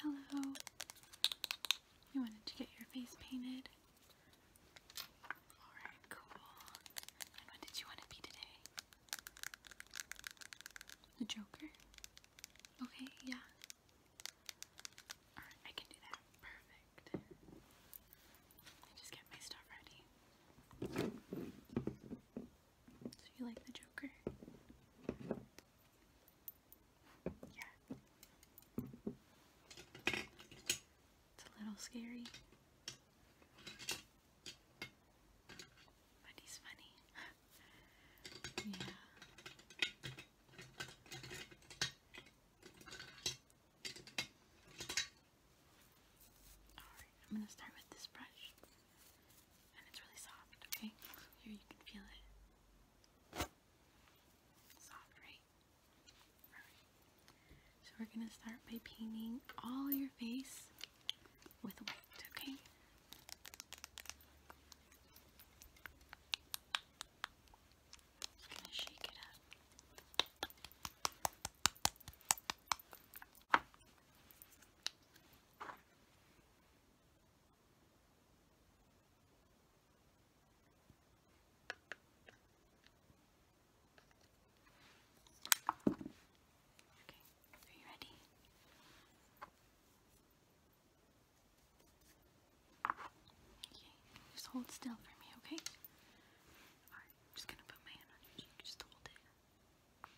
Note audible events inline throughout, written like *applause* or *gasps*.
hello. You wanted to get your face painted? Alright, cool. what did you want to be today? The Joker? Okay, yeah. Alright, I can do that. Perfect. I just get my stuff ready. So you like the Joker? Yeah. It's a little scary. But funny. *laughs* yeah. Alright, I'm gonna start with this brush. And it's really soft, okay? Here you can feel it. Soft, right? Alright. So we're gonna start by painting all your face with weight, okay? Just gonna shake it up. Okay. Are you ready? Okay, just hold still for me, okay? I'm just gonna put my hand on your cheek, just hold it. Okay,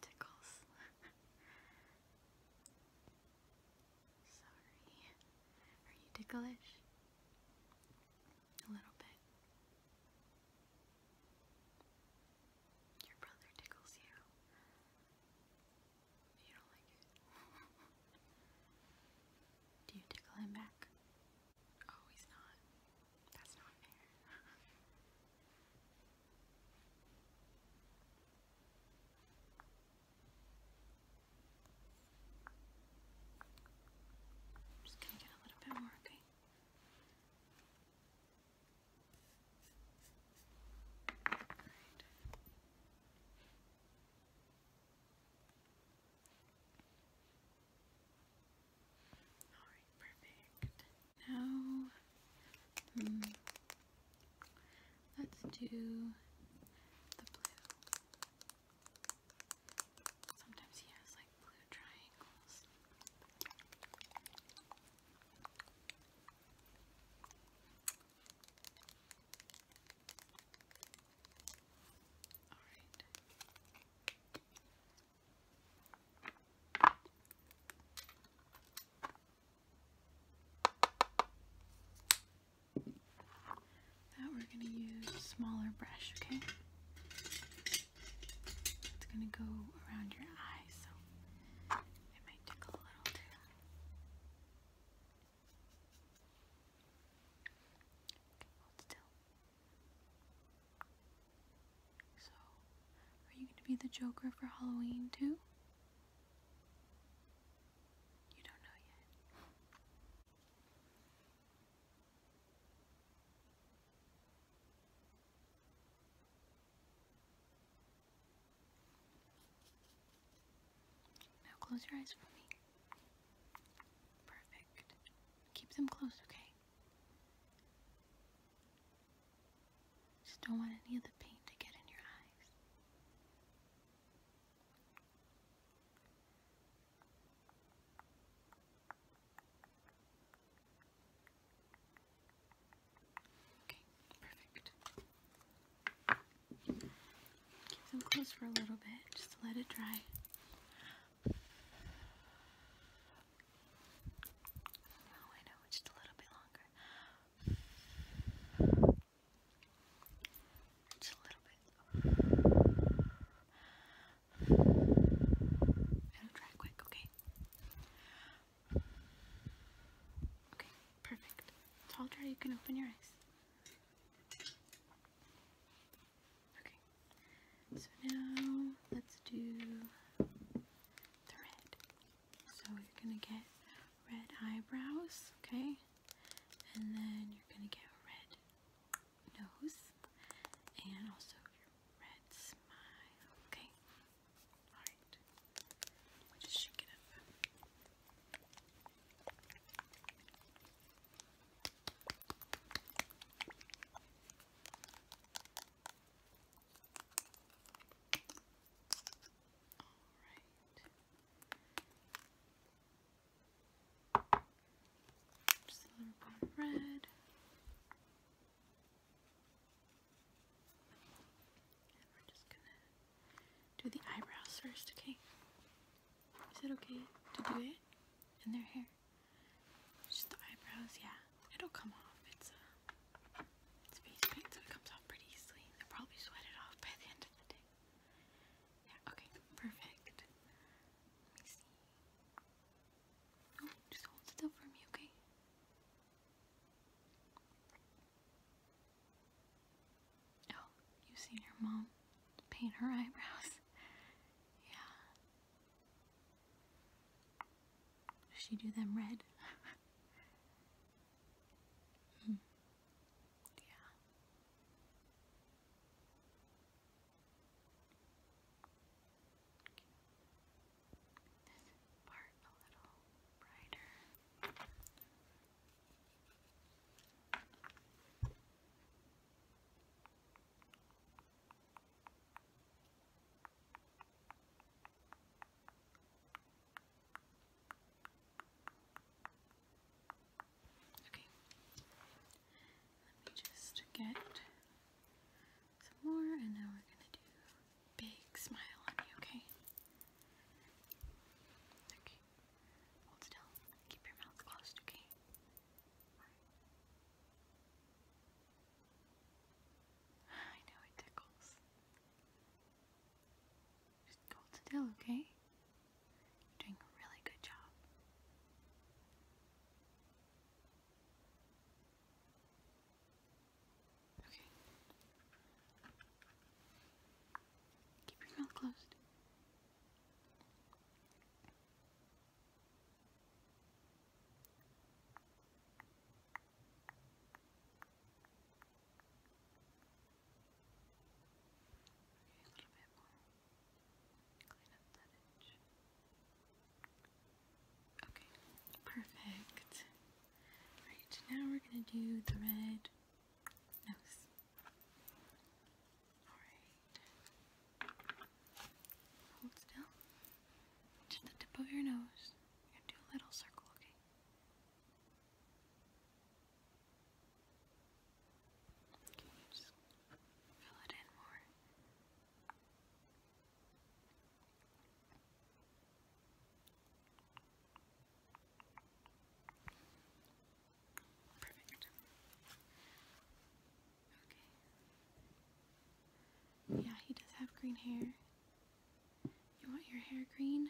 tickles. *laughs* Sorry. Are you ticklish? A little bit. Your brother tickles you. You don't like it. *laughs* Do you tickle him back? Oh, he's not. That's not fair. *laughs* just going to get a little bit more, okay? All right, perfect. Now, hmm. let's do the blue. Sometimes he has like blue triangles. Alright. Now we're going to use smaller brush, okay? It's going to go around your eye, so it might tickle a little too. Okay, hold still. Okay, so, are you going to be the Joker for Halloween too? You don't know yet. Now close your eyes for me. Perfect. Keep them closed, okay? Just don't want any of the paint to get in your eyes. Okay, perfect. Keep them closed for a little bit, just to let it dry. Oh, just a little bit longer. Just a little bit. It'll dry quick, okay? Okay, perfect. It's all you can open your eyes. Okay. So now let's do red. So you're gonna get red eyebrows, okay? And then you're gonna get a red nose and also your red smile, okay? Alright. we just shake it up. Just a little bit of red. we're just gonna do the eyebrows first, okay? Is it okay to do it in their hair? Just the eyebrows, yeah. It'll come off. It's a uh, it's face paint, so it comes off pretty easily. they probably sweat it off by the end of the day. Yeah, okay, perfect. Let me see. Oh, just hold still for me, okay? Oh, you've seen your mom paint her *laughs* eyebrows. Yeah. Does She do them red. *laughs* Hmm. Yeah. Okay, let me just get some more, and now we're gonna do big smile on you, okay? Okay, hold still, keep your mouth closed, okay? I know it tickles. Just hold still, okay? doing a really good job. Okay. Keep your mouth closed. Okay, perfect. Alright, now we're gonna do the red nose. Hold still. Just the tip of your nose. do a little circle, okay? Okay, just fill it in more. Yeah, he does have green hair. You want your hair green?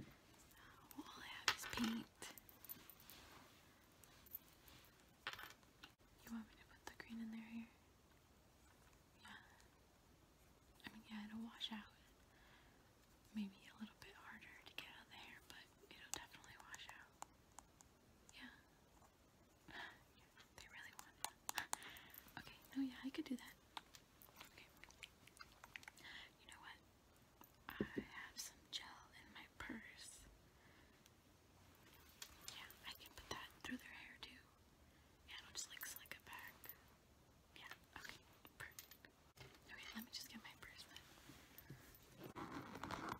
Oh, all I have is paint. You want me to put the green in their Yeah. I mean, yeah, it'll wash out. Maybe a little bit harder to get on the hair, but it'll definitely wash out. Yeah. *gasps* *gasps* okay, no, yeah, I could do that. You know what? I have some gel in my purse. Yeah, I can put that through their hair too. Yeah, it just like slick it back. Yeah, okay, perfect. Okay, let me just get my purse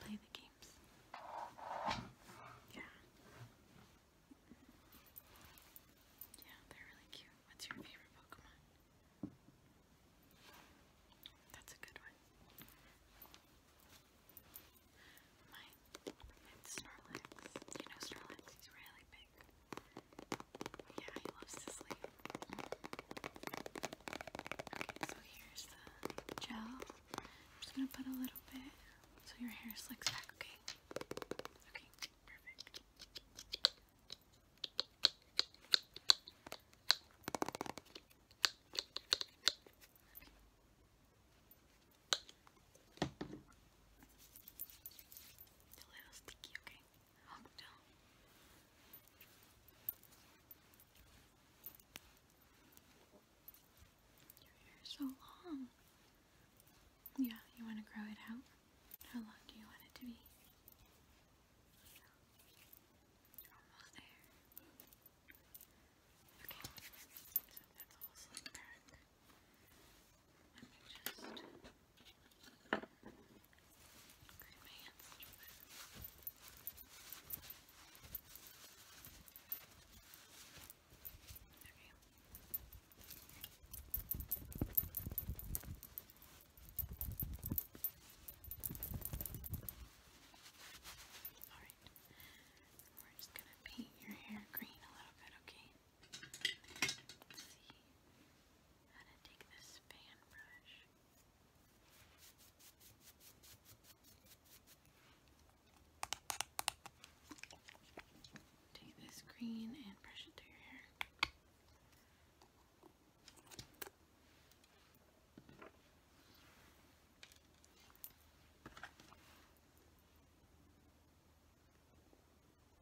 Play the games. Yeah. Yeah, they're really cute. What's your favorite Pokemon? That's a good one. Mine, it's Snorlax. You know Snorlax, he's really big. Yeah, he loves to sleep. Okay, so here's the gel. I'm just gonna put a little bit so your hair slicks back, okay? Okay, perfect. A little sticky, okay? Your hair is so long. Yeah, you want to grow it out? How long do you want it to be? You're almost there. Okay, so that's all slick back. Let me just Clean my Alright. We're just gonna paint your hair green a little bit, okay? this Take this green and brush it through your hair.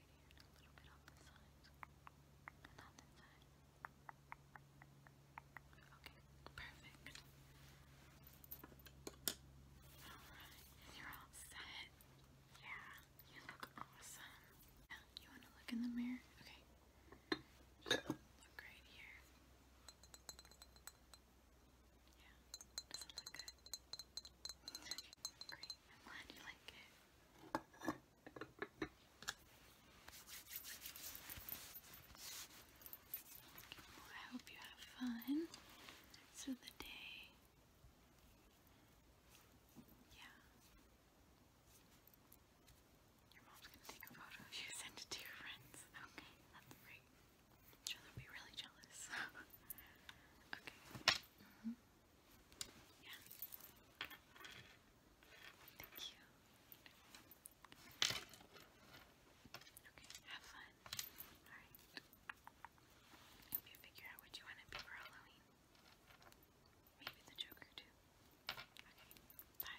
right perfect. Alright, you're all set. Yeah, you look awesome. you want to look in the mirror? Okay. look right here. Yeah, doesn't look good. great. glad you like it. I hope you have fun through the day. Yeah. Your mom's gonna take a photo you *laughs* send it to your friends. Okay, that's great. I'm be really jealous. *laughs* okay. Mm-hmm. Yeah. Thank you. Okay, have fun. Alright. hope you figure out what you want to be for Halloween. Maybe the Joker too. Okay, bye.